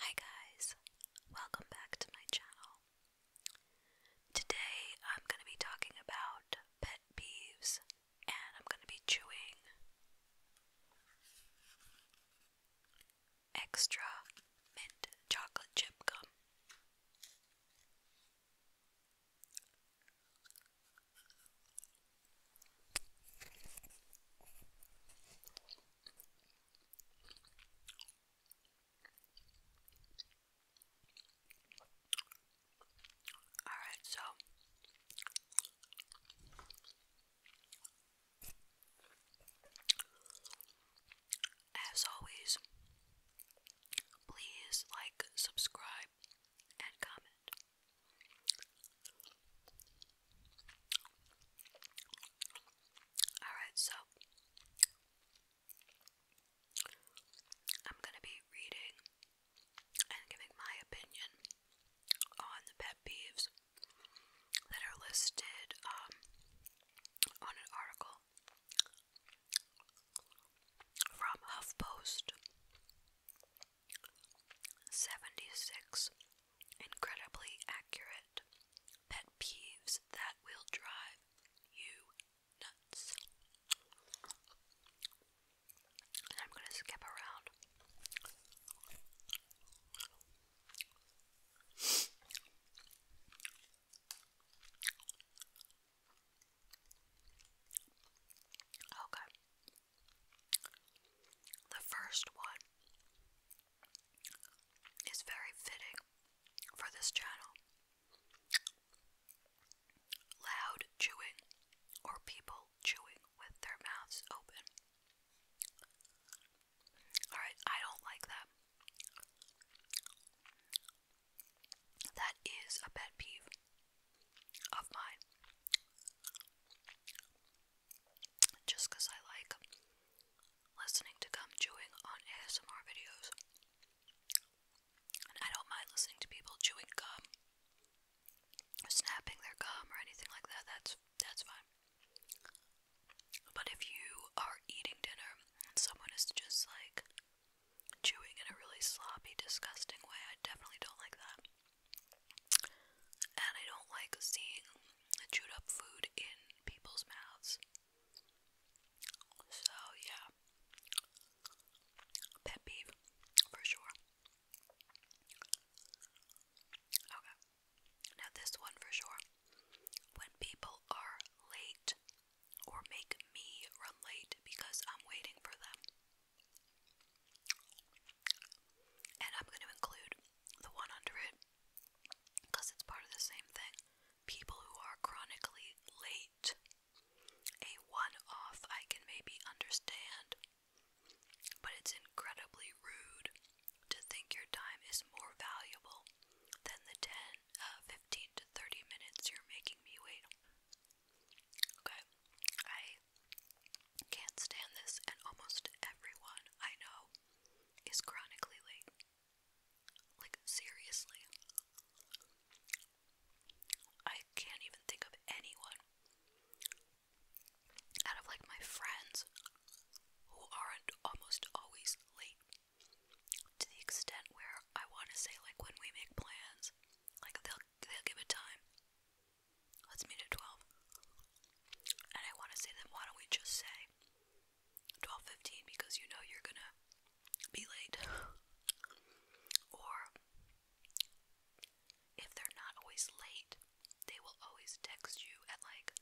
Hi guys, welcome back to my channel. Today I'm going to be talking about pet peeves and I'm going to be chewing extra mint chocolate chip gum. Alright, so as always, please like, subscribe, and comment. Alright, so I'm gonna be reading and giving my opinion on the pet peeves that are listed um, on an article from HuffPost 76 incredibly accurate pet peeves that will drive you nuts. And I'm going to skip around. Okay. The first one is very fitting for this channel. Loud chewing or people chewing with their mouths open. Alright, I don't like that. That is a pet peeve of mine just because I like listening to gum chewing on ASMR videos. I don't mind listening to people chewing gum or snapping their gum or anything like that. That's that's fine. But if you are eating dinner and someone is just like chewing in a really sloppy, disgusting way, I definitely don't like that. And I don't like seeing chewed up food in people's mouths. So, yeah. Pet peeve, for sure. Okay. Now, this one for sure. When people are late or make me run late because I'm waiting for them. And I'm going to include the one under it because it's part of the same thing. People who are chronically late. A one off I can maybe understand, but it's incredibly rude to think your time is more valuable than the 10, uh, 15 to 30 minutes you're making me wait. Okay, I can't stand this, and almost everyone I know is chronically late. Like, seriously. I can't even think of anyone out of like my friends who aren't almost always late to the extent where I want to say, like, when we make plans, like, they'll, they'll give it time. Let's meet at 12. And I want to say then why don't we just say 12:15 because you know you're going to be late. or if they're not always late, they will always text you at like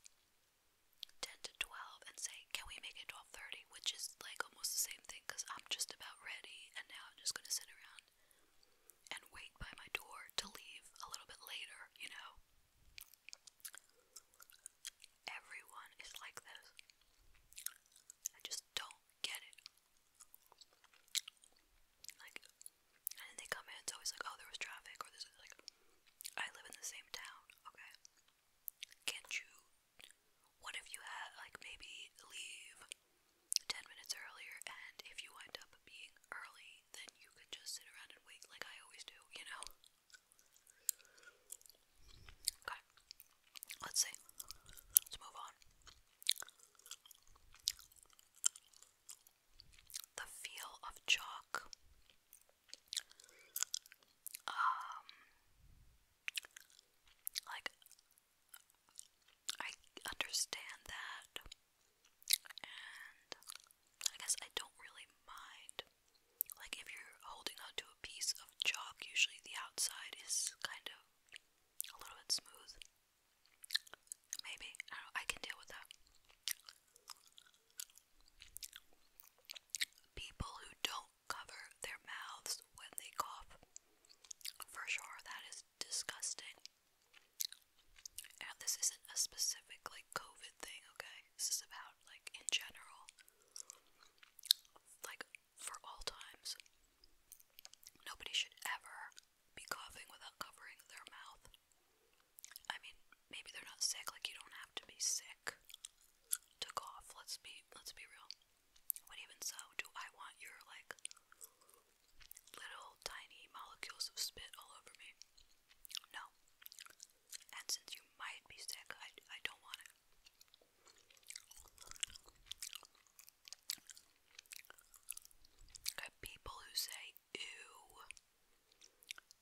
10 to 12 and say, "Can we make it 12:30?" which is like almost the same thing cuz I'm just about ready and now I'm just going to sit around and wait by my door to leave a little bit later, you know? Everyone is like this. I just don't get it. Like, and they come in, it's always like, oh, there was traffic, or this like, I live in the same town, okay? Can't you? What if you had, like, maybe leave 10 minutes earlier, and if you wind up being early, then you could just sit around and wait like I always do, you know? Okay. Let's see. Let's move on. The feel of chalk. Um like I understand that I guess I don't really mind. Like if you're holding on a piece of chalk, usually the outside is kind of a little bit smooth. Maybe. I can deal with that. People who don't cover their mouths when they cough. For sure, that is disgusting. And this isn't a specific like COVID thing, okay? This is about like in general, like for all times. Nobody should ever be coughing without covering their mouth. I mean, maybe they're not sick. Like you don't have to be sick to cough. Let's be let's be real. But even so, do I want your like little tiny molecules of spit all over me. No. And since you might be sick, I, I don't want it. Okay, people who say ew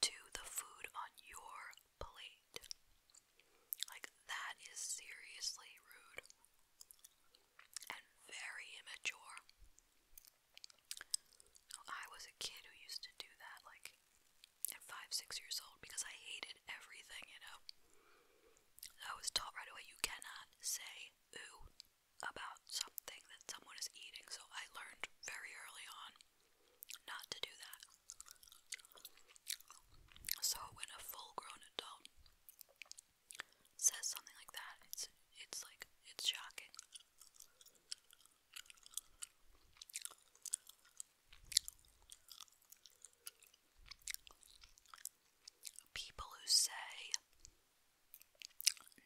to the food on your plate. Like, that is seriously rude and very immature. I was a kid who used to do that, like at five, six years old, because I hated everything, you know. I was taught right away you cannot say ooh about something that someone is eating, so I learned very early on not to do that. So when a full-grown adult says something like that, it's it's like it's shocking. People who say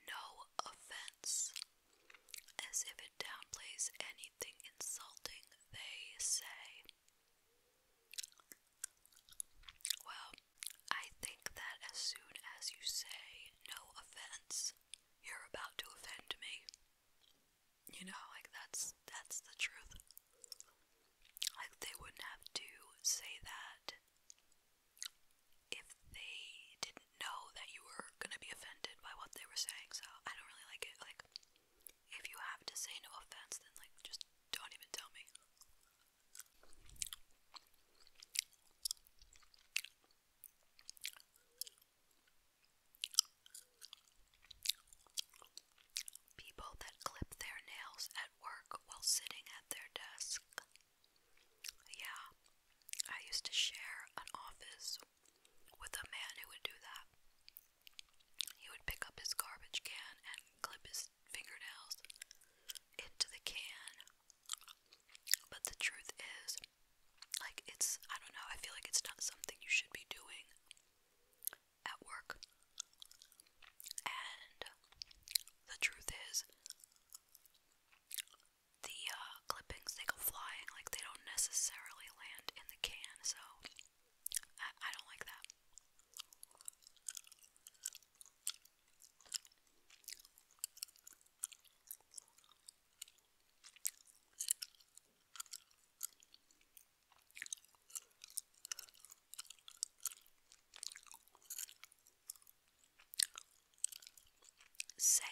no offense as if it downplays anything insulting they say. Well, I think that as soon as you say no offense, you're about to offend me. You know, like that's that's the truth. Like they wouldn't have to say that if they didn't know that you were gonna be offended by what they were saying. So I don't really like it. Like if you have to say no offense, then like just don't even tell me. People that clip their nails at work while sitting at their desk. Yeah, I used to share an office with a man who would do that. He would pick up his garbage can and clip his fingernails into the can but the truth is, like, it's, I don't know, I feel like it's not something you should be doing at work. And the truth is, the uh, clippings, they go flying, like, they don't necessarily land in the can, so I, I don't like that. Saying,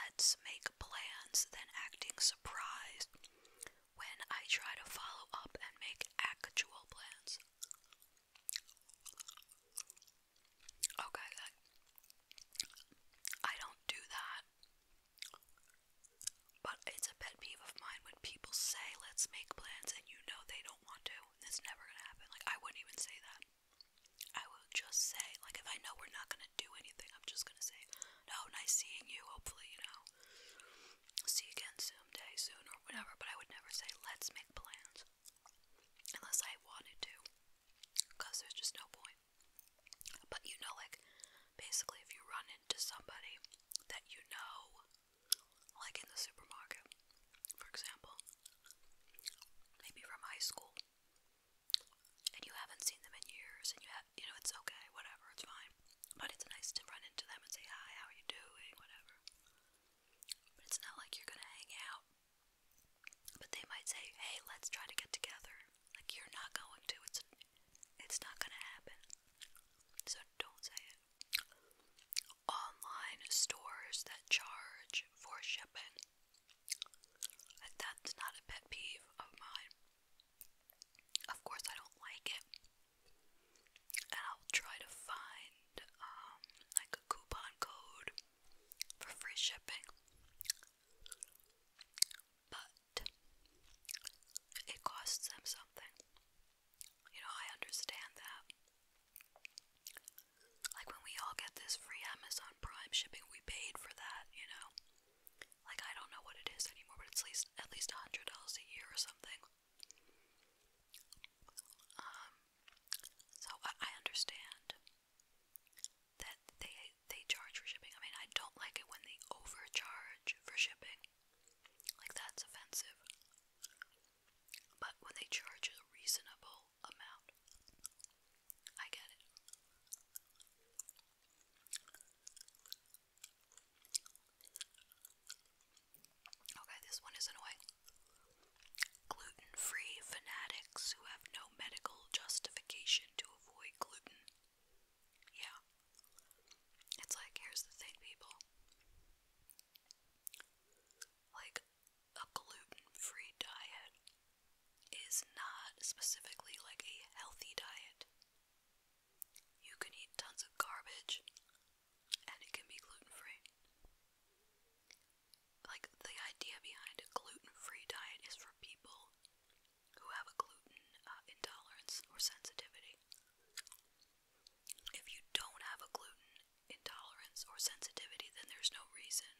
let's make plans, then acting surprised when I try to follow up and make actual plans. Okay, I don't do that. But it's a pet peeve of mine when people say, let's make plans, and you know they don't want to. It's never gonna happen. Like, I wouldn't even say that. I would just say, like, if I know we're not gonna do anything, I'm just gonna say, no, nice seeing you, hopefully, you know. See you again someday, soon, or whatever. But I would never say, let's make plans. Unless I wanted to. Because there's just no point. But you know, like, basically, if you run into somebody that you know, like in the supermarket, for example, maybe from high school, and you haven't seen them in years, and you have, you know, it's okay, whatever, it's fine. But it's nice to run into them and say, hi, how are you doing, whatever. But it's not like you're gonna hang out but they might say, "Hey, let's try to get together." Like you're not going to. It's it's not going to happen. So don't say it. Online stores that charge for shipping. Like that's not a pet peeve of mine. Of course, I don't like it. And I'll try to find um like a coupon code for free shipping. But it costs them something. You know, I understand that. Like when we all get this free Amazon Prime shipping, we paid for that, you know. Like I don't know what it is anymore, but it's at least at least a hundred dollars a year or something. Um, so I, understand that they they charge for shipping. I mean, I don't like it when they overcharge for shipping. Like that's offensive. But when they charge a reasonable amount, I get it. Okay, this one is annoying. Gluten free fanatics who have no medical justification to avoid gluten. Yeah. It's like, here's the thing, people. Like, a gluten free diet is not specifically like a healthy diet. You can eat tons of garbage and it can be gluten free like the idea behind a gluten-free diet is for people who have a gluten uh, intolerance or sensitivity. If you don't have a gluten intolerance or sensitivity, then there's no reason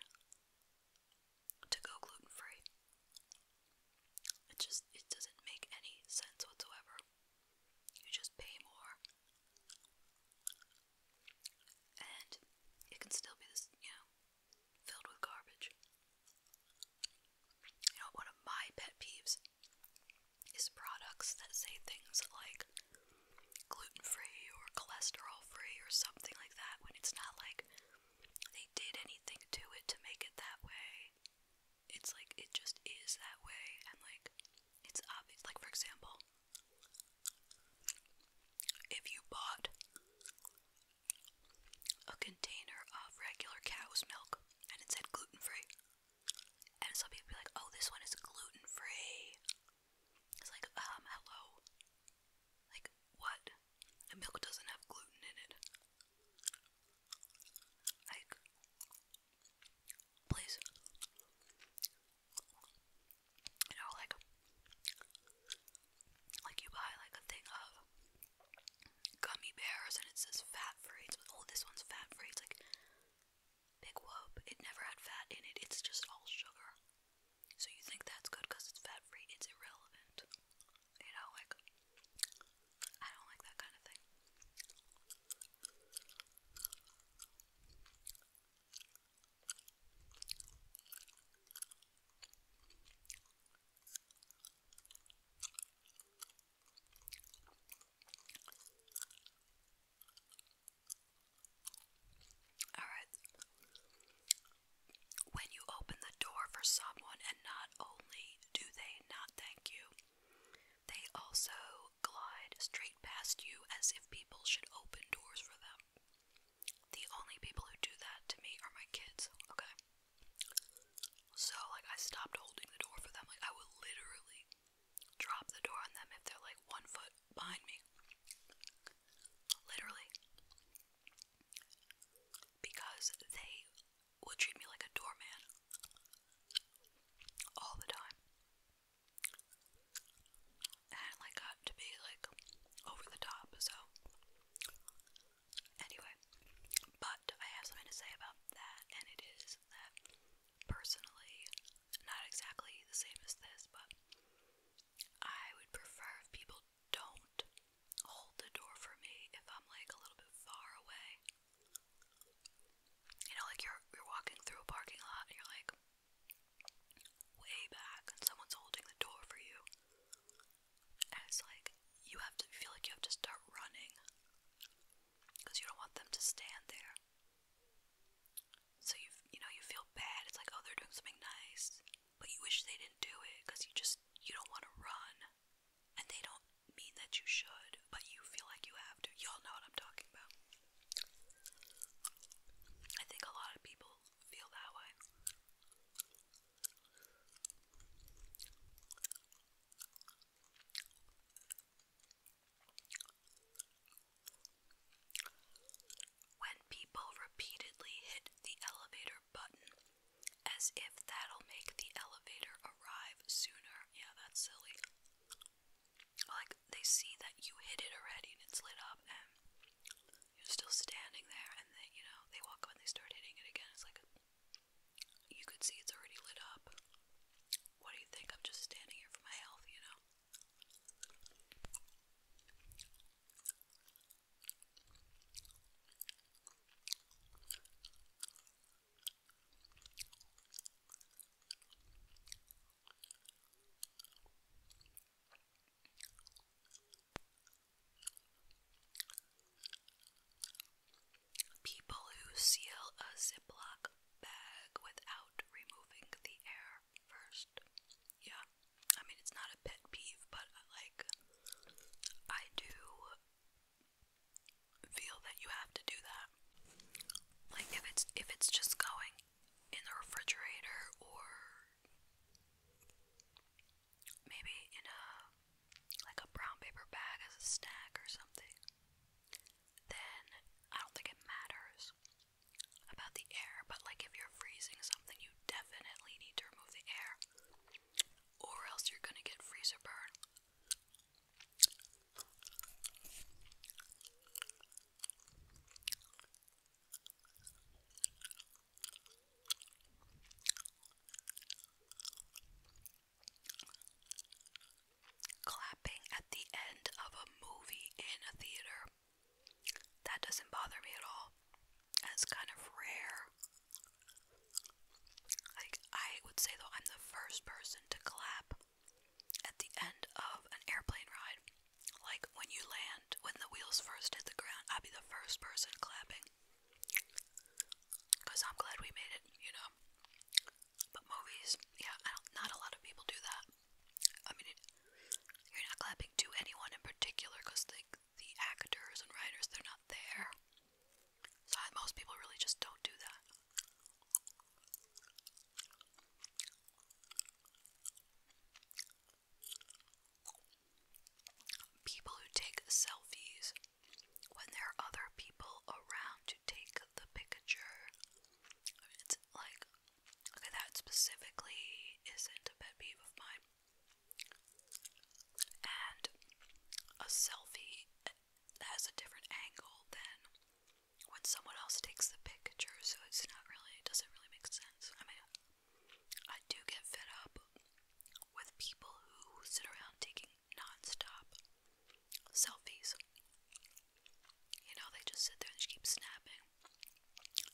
to go gluten-free. It just it doesn't make any sense whatsoever. You just pay more and it can still be this, you know, filled with garbage. You know, one of my pet peeves is products that say things like gluten free or cholesterol free or something like that when it's not like they did anything to it to make it that way. It's like it just is that way, and like it's obvious. Like, for example, if you bought a container of regular cow's milk and it said gluten free, and some people be like, oh, this one is gluten free. It's like, um, hello. Like, what? The milk doesn't have gluten in it. Like, please. You know, like like you buy like a thing of gummy bears and it says fat free. It's oh this one's fat free. It's like big whoop. It never had fat in it. It's just all sugar. So you think that's good because it's fat free? It's irrelevant. You know, like I don't like that kind of thing. All right. When you open the door for someone, and not only do they not thank you, they also glide straight past you as if people should open doors for them. The only people who do that to me are my kids, okay? So, like, I stopped holding the door for them. Like, I would literally drop the door on them if they're, like, one foot behind me. Literally. Because they will treat me like a doorman all the time and like got to be like over the top, so anyway, but I have something to say about that, and it is that personally, not exactly the same as this, but I would prefer people don't hold the door for me if I'm like a little bit far away. You know, like you're you're walking through a parking lot and you're like, way back and someone's holding the door for you. And it's like you have to feel like you have to start running because you don't want them to stand there. So you you know you feel bad. It's like oh they're doing something nice, but you wish they didn't do it because you just you don't want to run, and they don't mean that you should, but you feel like you have to. Y'all know what I'm talking about. I think a lot of people feel that way. When people repeatedly hit the elevator button as if that'll make the elevator arrive sooner. Yeah, that's silly like they see that you hit it already and it's lit up and you're still standing there and they you know they walk up and they start hitting it again it's like you could see it's already lit up what do you think i'm just standing here for my health you know People who seal a Ziploc bag without removing the air first. Yeah, I mean, it's not a pet peeve, but uh, like, I do feel that you have to do that. Like, if it's if it's just going in the refrigerator or maybe in a like a brown paper bag as a snack or something, then I don't think it matters about the air, but like if you're freezing something, you definitely need to remove the air or else you're gonna get freezer burn. Clapping at the end of a movie in a theater. That doesn't bother me at all. That's kind of rare. Like, I would say, though, I'm the first person to clap at the end of an airplane ride. Like when you land, when the wheels first hit the ground, I'll be the first person clapping. Because I'm glad we made it, you know. But movies, yeah, not a lot of people do that. I mean, you're not clapping to anyone in particular because the, the actors and writers, they're not there. So most people really just don't do that. People who take selfies when there are other people around to take the picture. It's like, that specifically isn't a pet peeve of mine. And a selfie has a different angle than when someone else takes the picture, so it's not really, it doesn't really make sense. I mean, I do get fed up with people who sit around taking non-stop selfies. You know, they just sit there and just keep snapping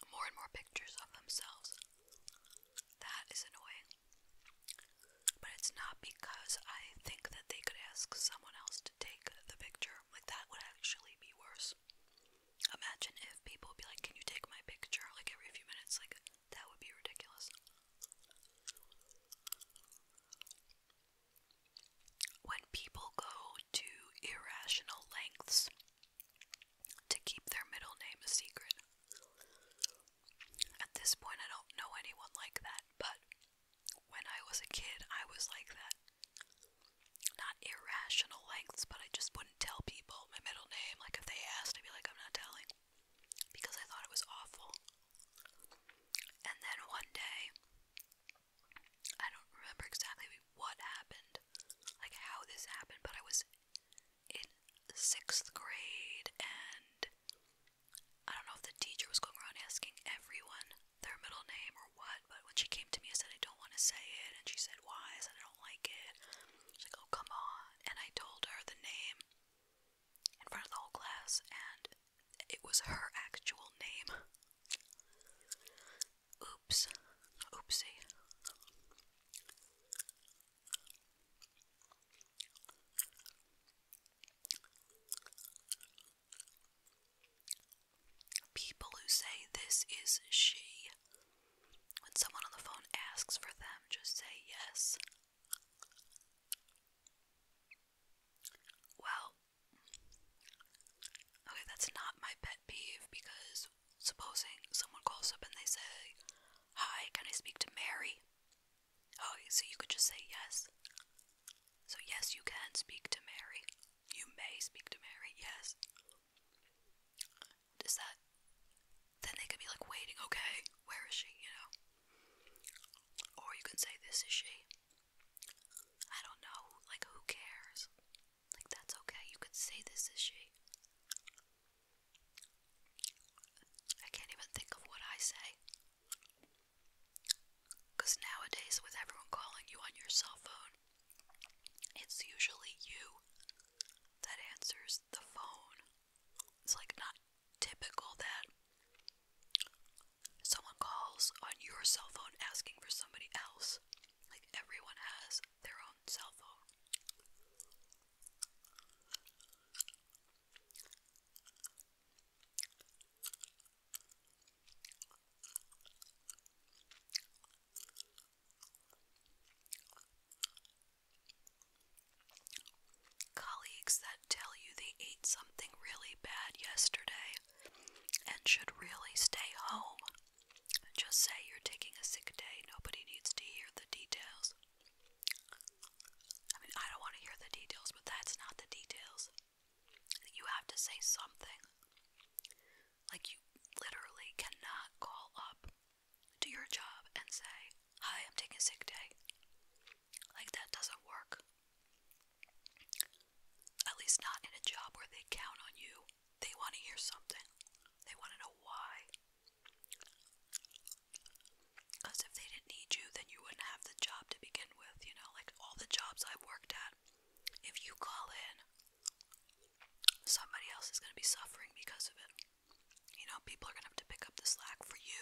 more and more pictures of themselves. That is annoying. But it's not because I think that they could ask someone else to take the picture. Like, that would actually be worse. Imagine if people be like, can you take my picture like every few minutes? Like, that would be ridiculous. When people go to irrational lengths to keep their middle name a secret, at this point I don't know anyone like that, but when I was a kid, I was like that not irrational lengths, but I just wouldn't tell people my middle name. Like if they asked, I'd be like, I'm not telling because I thought it was awful. And then one day, I don't remember exactly what happened, like how this happened, but I was in sixth grade and I don't know if the teacher was going around asking everyone their middle name or what, but when she came to me, I said, I don't want to say it. And she said, Why? I said, I don't like it. She's like, Oh, come on. And I told her the name in front of the whole class, and it was her actual name. Oops. Oopsie. People who say this is she, when someone on the phone asks for them, just say yes. Well, okay, that's not my pet peeve because supposing someone calls up and they say, Hi, can I speak to Mary? Oh, so you could just say yes. So, yes, you can speak to Mary. You may speak to Mary, yes. Does that. Then they could be like waiting, okay, where is she, you know? Or you can say, this is she. I don't know, like, who cares? Like, that's okay, you could say, this is she. I can't even think of what I say. Because nowadays, with everyone calling you on your cell phone, it's usually you that answers the phone. It's like not typical that someone calls on your cell phone asking for somebody else. Like everyone has their own cell phone. Colleagues that tell you they ate something really bad yesterday and should really stay home. Just say you're taking a sick day. Nobody needs to hear the details. I mean, I don't want to hear the details, but that's not the details. You have to say something. Like, you literally cannot call up to your job and say, Hi, I'm taking a sick day. Like, that doesn't work. At least not in a job where they count on you. They want to hear something, they want to know why. Because if they didn't need you, then you wouldn't have the job to begin with. You know, like all the jobs I've worked at, if you call in, somebody else is going to be suffering because of it. You know, people are going to have to pick up the slack for you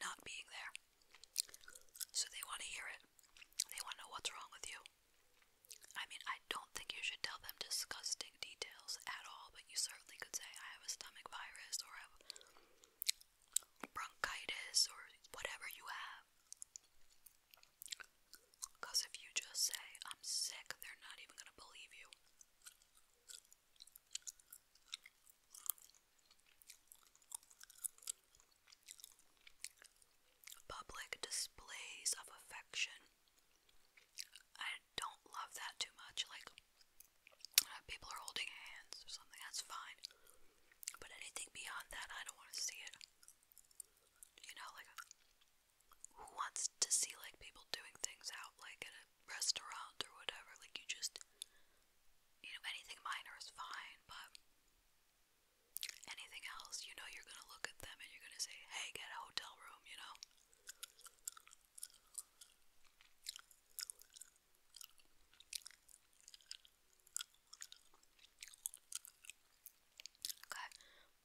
not being there. So they want to hear it, they want to know what's wrong with you. I mean, I don't think you should tell them disgusting details at all, but you certainly could say, I have a stomach virus or I have bronchitis or whatever you have. Because if you just say, I'm sick, they're not even going to believe you. Public displays of affection. I don't love that too much. Like, uh, people are holding hands or something, that's fine. But anything beyond that, I don't want to see it. You know, like, who wants to see, like, people doing things out, like, at a restaurant or whatever? Like, you just, you know, anything minor is fine, but anything else, you know, you're gonna look at them and you're gonna say, hey, get a hotel room, you know?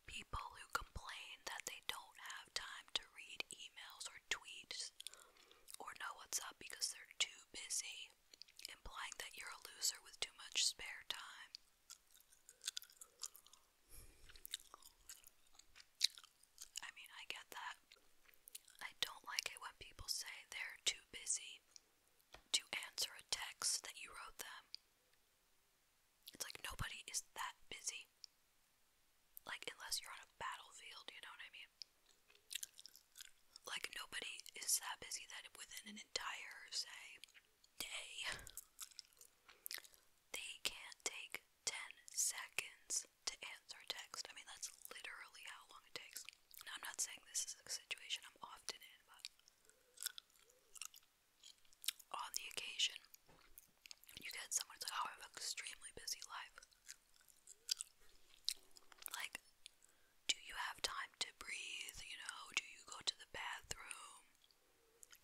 People who complain that they don't have time to read emails or tweets or know what's up because they're too busy, implying that you're a loser with too much spare time. I mean, I get that. I don't like it when people say they're too busy to answer a text that you wrote them. It's like nobody is that busy. Like, unless you're on a battlefield, you know what I mean? Like, nobody is that busy that within an entire, say, day, they can't take 10 seconds to answer text. I mean, that's literally how long it takes. I'm not saying this is a situation I'm often in, but on the occasion, you get someone like, oh, I have an extremely busy life. Like, do you have time to breathe? You know, do you go to the bathroom?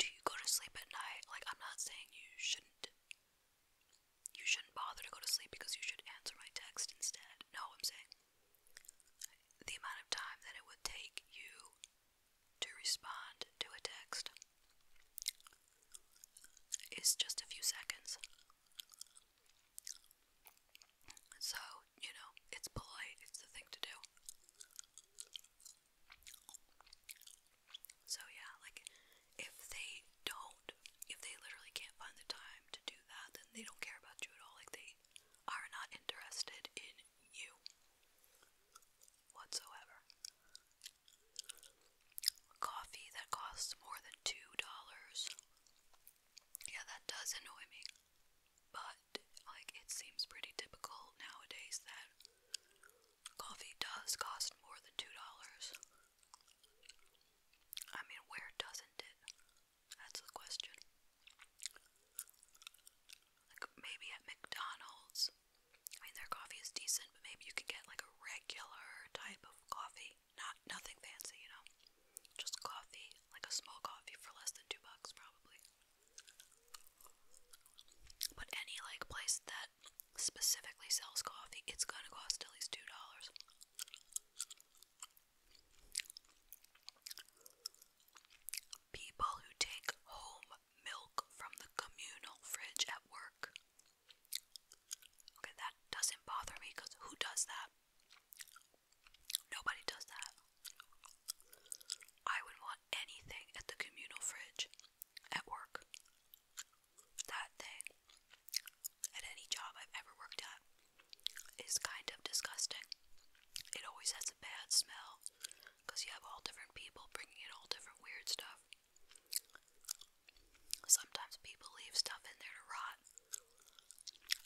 Do you go to sleep at night? Like, I'm not saying you shouldn't. You shouldn't bother to go to sleep because you should answer my text instead. No, I'm saying the amount of time that it would take you to respond to a text is just a few seconds. So, you know, it's polite, it's the thing to do. So, yeah, like if they don't, if they literally can't find the time to do that, then they don't care about you at all. Like, they are not interested in you whatsoever. Coffee that costs more than two dollars. Yeah, that does annoy me. But, like, it seems pretty typical nowadays that coffee does cost more than two dollars. I mean, where doesn't it? That's the question. Like maybe at McDonald's, I mean their coffee is decent, but maybe you could get like a regular type of coffee, not nothing fancy, you know, just coffee, like a small coffee for less than two bucks probably. But any like place that specifically sells coffee, it's gonna cost at least two dollars. People who take home milk from the communal fridge at work. Okay, that doesn't bother me because who does that? Nobody does that. I would want anything at the communal fridge at work. That thing. At any job I've ever worked at. It's kind of disgusting. It always has a bad smell because you have all different people bringing in all different weird stuff. Sometimes people leave stuff in there to rot.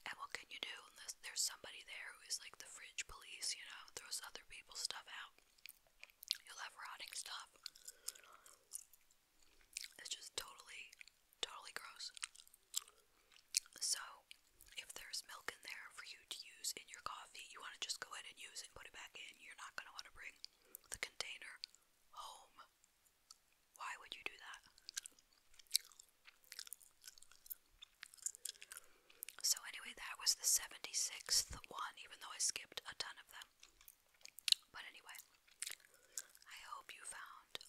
And what can you do unless there's somebody there who is like the fridge police, you know, throws other people's stuff out? You'll have rotting stuff. It's just totally, totally gross. So, if there's milk in there for you to use in your coffee, you want to just go ahead and use and put it back in. You're not going to want to bring the container home. Why would you do that? So, anyway, that was the 76th one, even though I skipped a ton of them. But anyway, I hope you found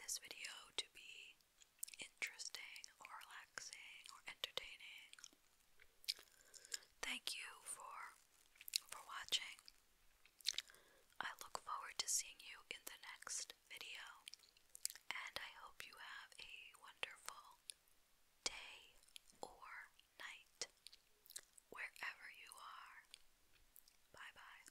this video to be interesting or relaxing or entertaining. Thank you for for watching. I look forward to seeing you in the next video and I hope you have a wonderful day or night wherever you are. Bye bye.